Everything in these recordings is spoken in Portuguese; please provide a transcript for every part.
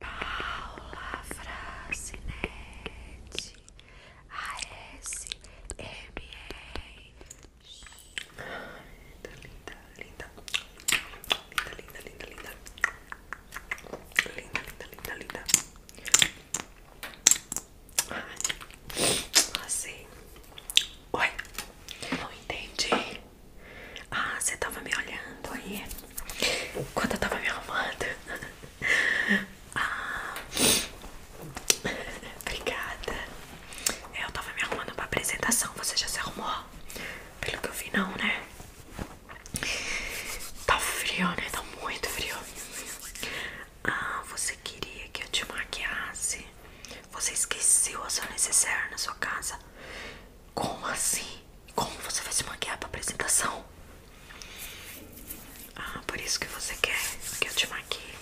Paula Francinete ASMR. Linda, linda, linda. Linda, linda, linda, linda. Linda, linda, linda, linda. Ai, assim. Oi, não entendi. Ah, você tava me olhando aí quando eu tava me arrumando. Ah, obrigada. É, eu tava me arrumando pra apresentação. Você já se arrumou? Pelo que eu vi, não, né? Tá frio, né? Tá muito frio. Ah, você queria que eu te maquiasse? Você esqueceu a sua necessaire na sua casa? Como assim? Como você vai se maquiar pra apresentação? Ah, por isso que você quer que eu te maquie.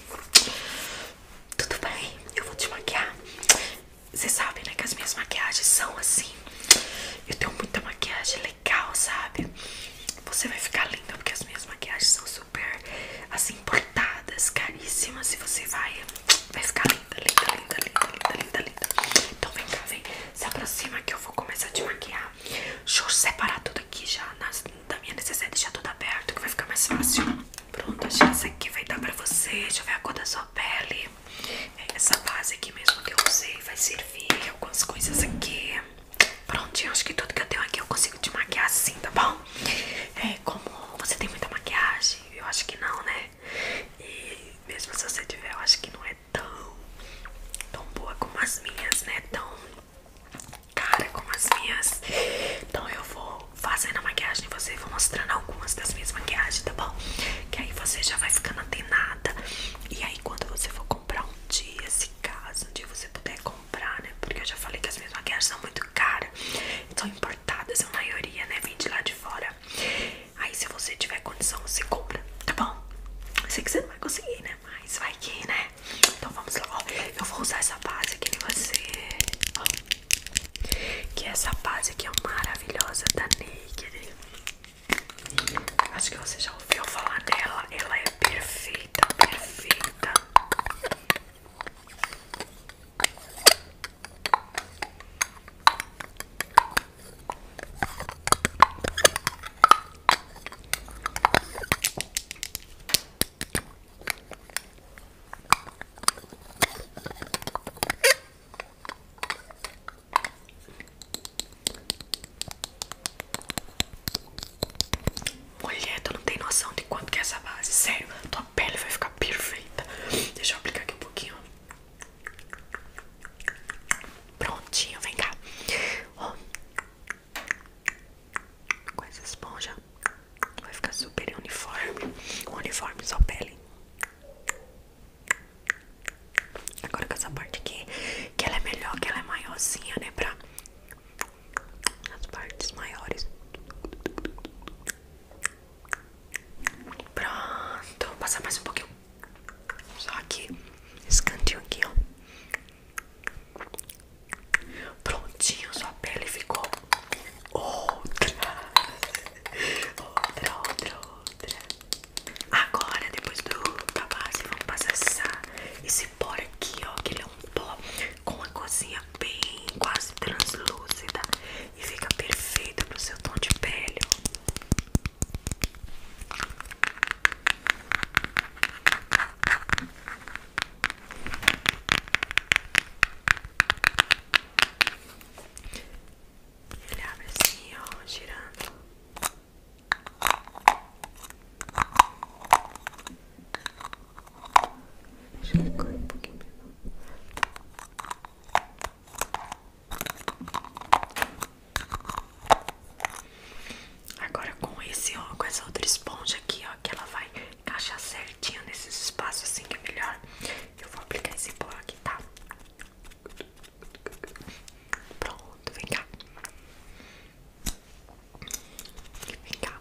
Tudo bem, eu vou te maquiar. Você sabe, né, que as minhas maquiagens são assim. Eu tenho muita maquiagem legal, sabe? Você vai ficar linda porque as minhas maquiagens são super assim importadas, caríssimas e você vai vai ficar linda, linda, linda, linda, linda, linda, linda. Então vem cá, vem. Se aproxima que eu vou começar a te maquiar. Deixa eu separar tudo aqui já da minha necessidade, deixar tudo aberto que vai ficar mais fácil. Pronto, acho que essa aqui vai dar pra você. Deixa eu ver a cor da sua pele. É essa base aqui mesmo que eu usei vai servir. Algumas coisas aqui. Prontinho, acho que tudo que eu tenho aqui eu consigo te maquiar assim, tá bom? É, como você tem muita maquiagem, eu acho que não, né? E mesmo se você tiver, eu acho que não é é tão, tão boa como as minhas, né? Tão cara como as minhas. Então eu vou fazendo a maquiagem em você vou mostrando algumas das minhas maquiagens, tá bom? Que aí você já vai ficando nada E aí quando você for comprar um dia, se caso, um dia você puder comprar, né? Porque eu já falei que as minhas maquiagens são muito caras. São importadas, a maioria, né? Vem de lá de fora. Aí se você tiver condição, você compra, tá bom? Eu sei que você não vai conseguir, né? Mas vai que, né? Então vamos lá, Eu vou usar essa base aqui em você. Ó. Que essa base aqui é maravilhosa da Naked. Acho que você já ouviu falar dela. Ela é perfeita, perfeita. Mulher, tu não tem noção de quanto que é essa base, sério, tua pele vai ficar perfeita. Deixa eu aplicar aqui um pouquinho. Prontinho, vem cá. Oh. Com essa esponja vai ficar super uniforme. Uniforme só pele. Agora com essa parte aqui, que ela é melhor, que ela é maiorzinha, né? Pra as partes maiores. Pronto, vou passar mais um pouquinho. Só aqui, esse cantinho aqui, ó. Prontinho, sua pele ficou outra. Outra, outra, outra. Agora, depois do da base, vamos passar essa, esse pó aqui, ó. Que ele é um pó com uma cozinha bem quase translúcida e fica perfeito pro seu tom de pele. Ele abre assim, girando. Deixa eu colocar é um pouquinho Agora com esse, ó, com essa outra esponja aqui, ó, que ela vai encaixar certinho nesses espaços assim que é melhor. Eu vou aplicar esse pó aqui, tá? Pronto, vem cá. Vem cá.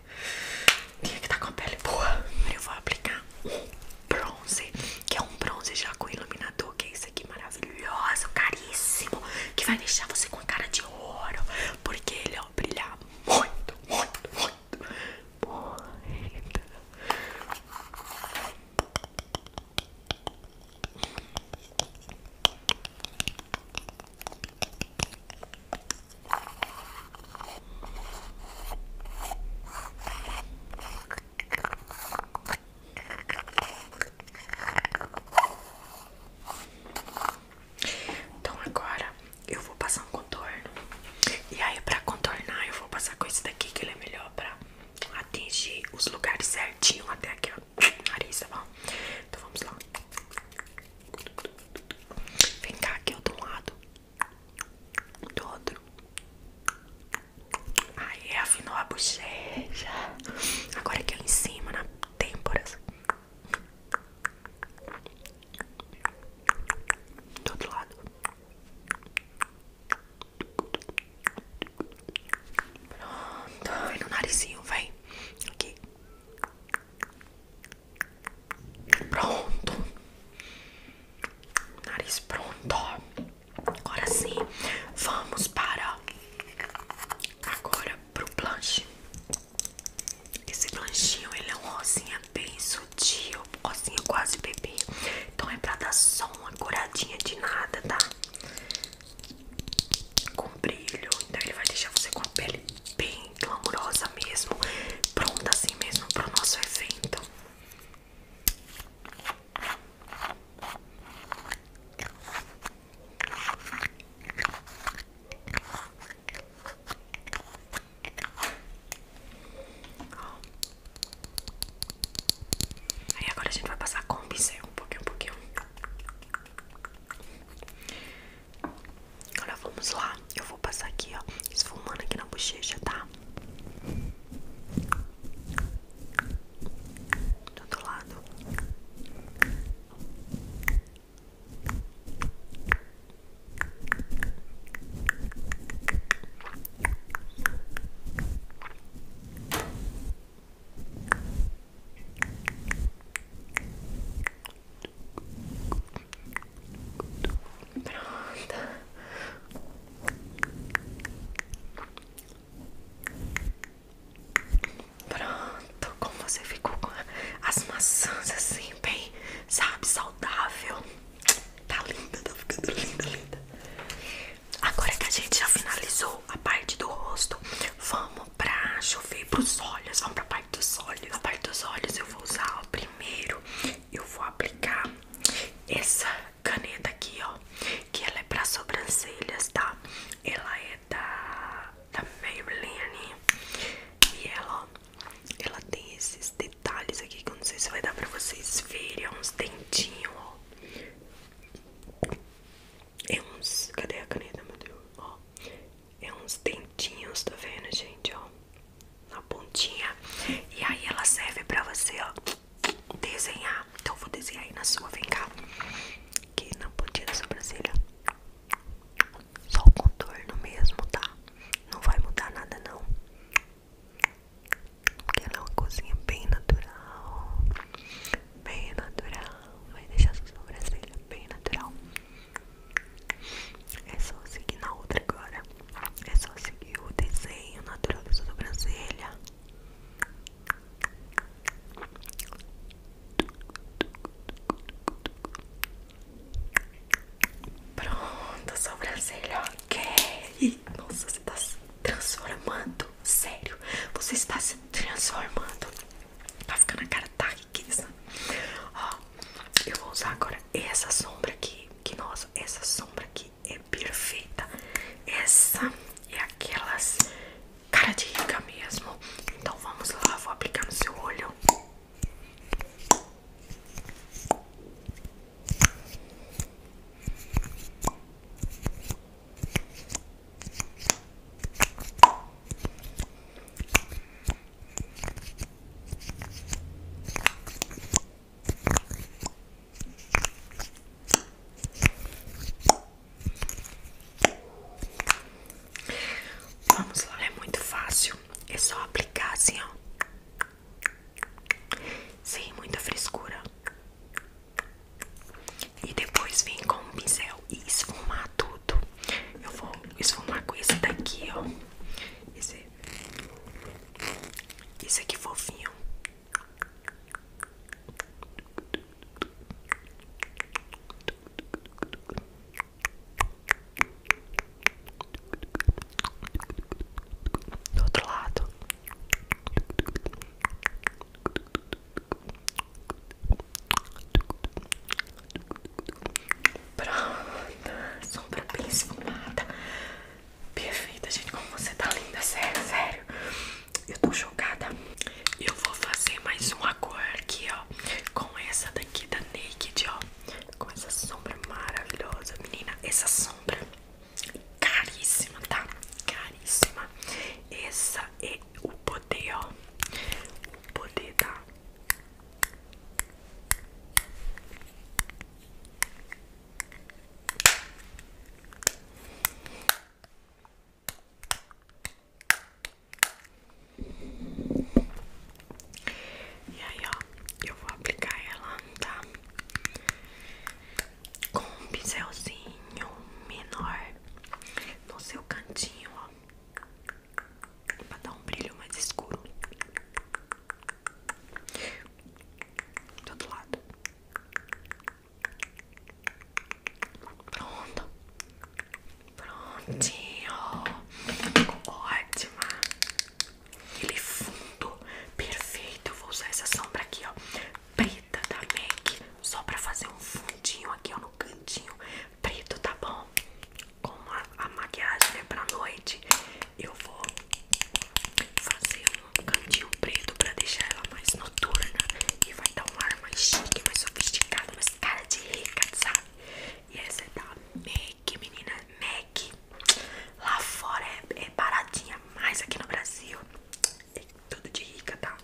Tinha é que tá com a pele boa. eu vou aplicar um bronze, que é um bronze já com iluminador, que é esse aqui maravilhoso, caríssimo, que vai deixar você com a cara de ouro, porque ele vai brilhar muito, muito, muito, muito. Então agora eu vou passar um contorno e aí para contornar eu vou passar com esse daqui que ele é melhor para atingir os lugares certinho até aqui ó, nariz, tá bom? Então vamos lá. Vem cá, aqui eu de lado. Do outro. Aí é, afinou a bochecha. Agora aqui em cima, na têmpora Do outro lado. Pronto, vem no narizinho, vem. Aqui. Pronto. Nariz pronto. Agora sim, vamos para agora pro blush. Esse blanchinho ele é um rosinha bem sutil, rosinha quase bebê. Então é pra dar só uma coradinha de nada, tá? Com brilho, então ele vai deixar você com a pele bem bem glamourosa mesmo, pronta assim mesmo para o nosso evento. Aí agora a gente vai passar com o pincel, um pouquinho, um pouquinho. Agora vamos lá. Eu vou passar aqui, ó, esfumando aqui na bochecha, tá? Do outro lado. Pronto. Pronto, como você ficou com as maçãs assim, bem, sabe, saudável. Tá linda, tá ficando linda, linda. Agora que a gente já finalizou a parte do rosto, vamos vamos pra chover pros olhos, vamos pra parte dos olhos. Na parte dos olhos eu vou usar, ó, primeiro eu vou aplicar essa caneta aqui, ó, que ela é pra sobrancelhas, tá? Ela é da, da Maybelline e ela, ela tem esses detalhes aqui que eu não sei se vai dar pra vocês verem, é uns dentinhos, ó. É uns... Cadê a caneta, meu Deus? Ó, é uns dentinhos, tá vendo, gente, ó? Na pontinha. E aí ela serve pra você, ó, desenhar. Então eu vou desenhar aí na sua, vem cá. Aqui na pontinha da sobrancelha. Só o contorno mesmo, tá? Não vai mudar nada, não. Porque ela é uma coisinha bem natural. Bem natural. Vai deixar sua sobrancelha bem natural. É só seguir na outra agora. É só seguir o desenho natural da sobrancelha. Pronto, sobrancelha, ok. Nossa, você tá se transformando. Sério, você está se transformando. Tá ficando a cara tá riqueza. Ó, eu vou usar agora essa sombra aqui. Que nossa, essa sombra aqui é perfeita. Essa é aquelas cara de rica mesmo. Então vamos lá, vou aplicar no seu olho. Vamos lá, é muito fácil. É só aplicar assim, ó. Sem muita frescura. E depois vem com um pincel e esfumar tudo tudo. Eu vou esfumar com esse daqui, ó. Esse, esse aqui fofinho. Do outro lado pronto sombra bem esfumada. Perfeita, gente. Como você tá linda, sério, sério. Eu tô chocada. Eu vou fazer mais uma cor aqui, ó. Com essa daqui da Naked, ó. Com essa sombra maravilhosa, menina. Essa sombra caríssima, tá? Caríssima. Essa é o poder, ó poder dar. E aí, ó, eu vou aplicar ela, tá? Com um pincelzinho menor no seu cantinho, ó. É pra dar um brilho mais escuro Do outro lado Pronto Prontinho Ficou ótima Ele fundo Perfeito Eu vou usar essa sombra aqui, ó Preta da Make, Só pra fazer um fundinho aqui, ó No cantinho preto, tá bom? Como a, maquiagem é pra noite, eu vou fazer um cantinho preto pra deixar ela mais noturna e vai dar um ar mais chique, mais sofisticado, mas cara de rica, sabe? E essa é da MAC, menina, MAC. Lá fora é, é baratinha, mas aqui no Brasil é tudo de rica, tá?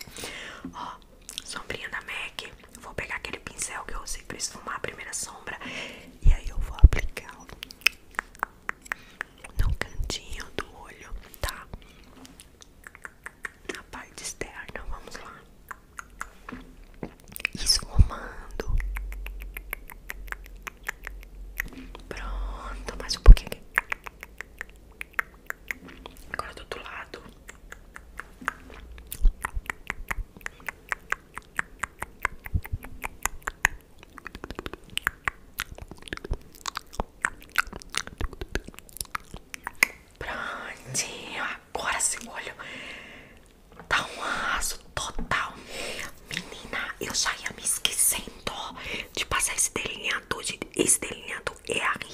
Ó, sombrinha da MAC. vou pegar aquele pincel que eu usei pra esfumar a primeira sombra. E aí eu vou aplicar no cantinho do olho, tá? Na parte externa, vamos lá. Esfumando. Pronto, mais um pouquinho aqui. Agora do outro lado. Prontinho, agora esse olha. dá tá um arraso total. Menina, eu já ia me esquecendo de passar esse delineador. Esse delineador é a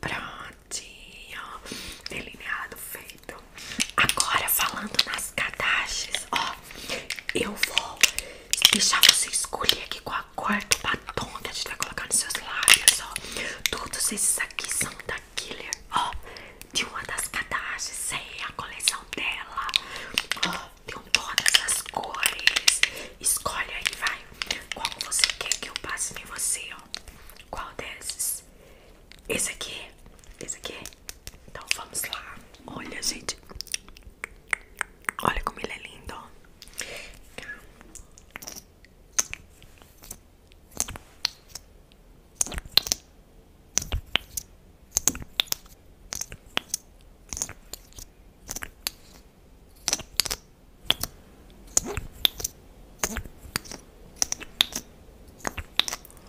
Prontinho, delineado feito. Agora falando nas cadaches ó, eu vou deixar você escolher aqui qual a cor do batom que a gente vai colocar nos seus lábios, ó. Todos esses aqui são da Killer, ó, de uma das cadaches é a coleção dela. Ó, tem todas as cores. Escolhe aí, vai. Qual você quer que eu passe em você, ó? Qual desses? Esse aqui? Esse aqui? Então vamos lá. Olha, gente. Olha como ele é lindo, ó.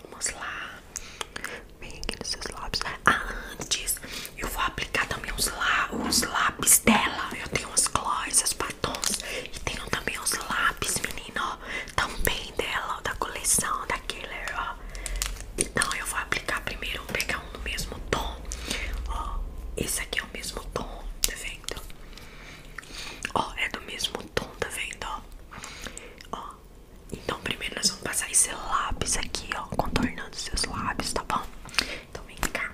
Vamos lá. Vem aqui nos seus lábios. Ah, antes eu vou aplicar também os, lá, os lápis dela. Eu tenho as gloss, as batons. E tenho também os lápis, menino. Ó, também dela, da coleção da Killer, ó. Então eu vou aplicar primeiro, vou pegar do é mesmo tom. Ó, esse aqui é o mesmo tom, tá vendo? Ó, é do mesmo tom, tá vendo? Ó, Então primeiro nós vamos passar esse lápis aqui, ó, contornando seus lábios, tá bom? Então vem cá.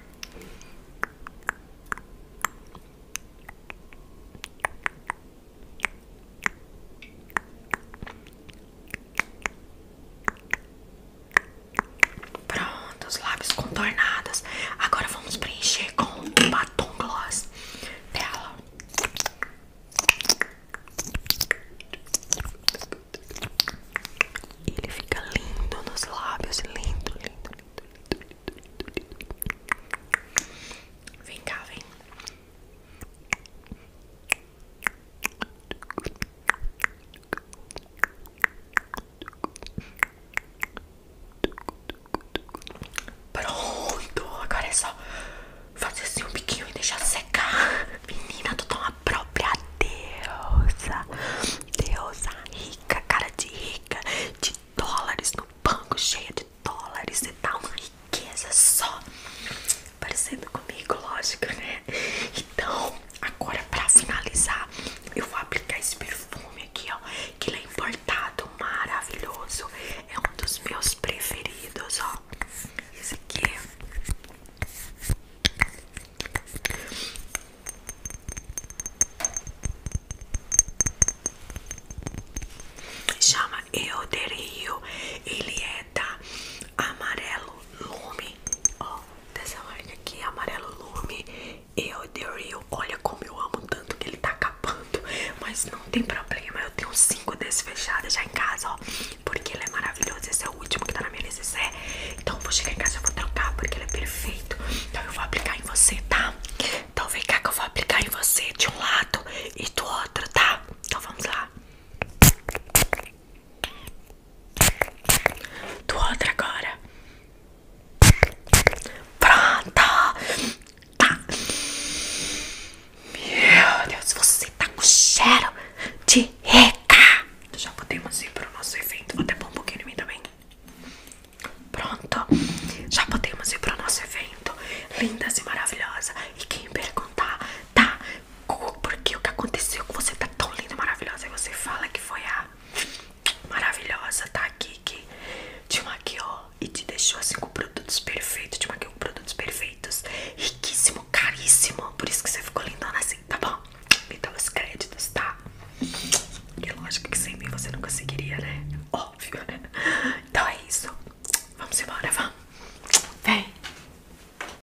Pronto, os lábios contornados. Agora vamos preencher com o batom gloss dela. Ele fica lindo nos lábios, lindo, lindo, lindo, lindo, lindo, lindo. Vem cá, vem. Pronto, agora é só fazer assim um biquinho e deixar secar. Menina, tu tá uma própria deusa, deusa rica, cara de rica, de dólares no banco, cheia de dólares e tá uma riqueza só parecendo comigo, lógico, né? Então, agora pra finalizar, eu vou aplicar esse perfume aqui, ó. Que ele é importado, maravilhoso. É um dos meus preferidos, ó. Esse aqui. Chama Euderio, ele é da Amarelo Lume, ó, dessa marca aqui, Amarelo Lume e o The Real. Olha como eu amo tanto que ele tá acabando, mas não tem problema, eu tenho cinco desses fechados já em casa, ó, porque ele é maravilhoso, esse é o último que tá na minha lista, é, Então eu vou chegar em casa e vou trocar, porque ele é perfeito, então eu vou aplicar em você, tá? Então vem cá que eu vou aplicar em você de um lado e do outro, tá? Então vamos lá. Do outro agora. Pronto. Tá. Meu Deus, você tá com cheiro de reca. Já podemos ir pro nosso evento. Vou até pôr um pouquinho em mim também. Pronto. Já podemos ir pro nosso evento. Lindas e maravilhosa. E quem perguntar tá, porque o que aconteceu com você tá tão linda, maravilhosa. e você fala que foi a maravilhosa, tá aqui, que te maquiou e te deixou assim com produtos perfeitos, te maquiou com produtos perfeitos, riquíssimo, caríssimo. Por isso que você ficou lindona assim, tá bom? Me dá os créditos, tá? E lógico que sem mim você não conseguiria, né? Óbvio, né? Então é isso. Vamos embora, vamos. Vem.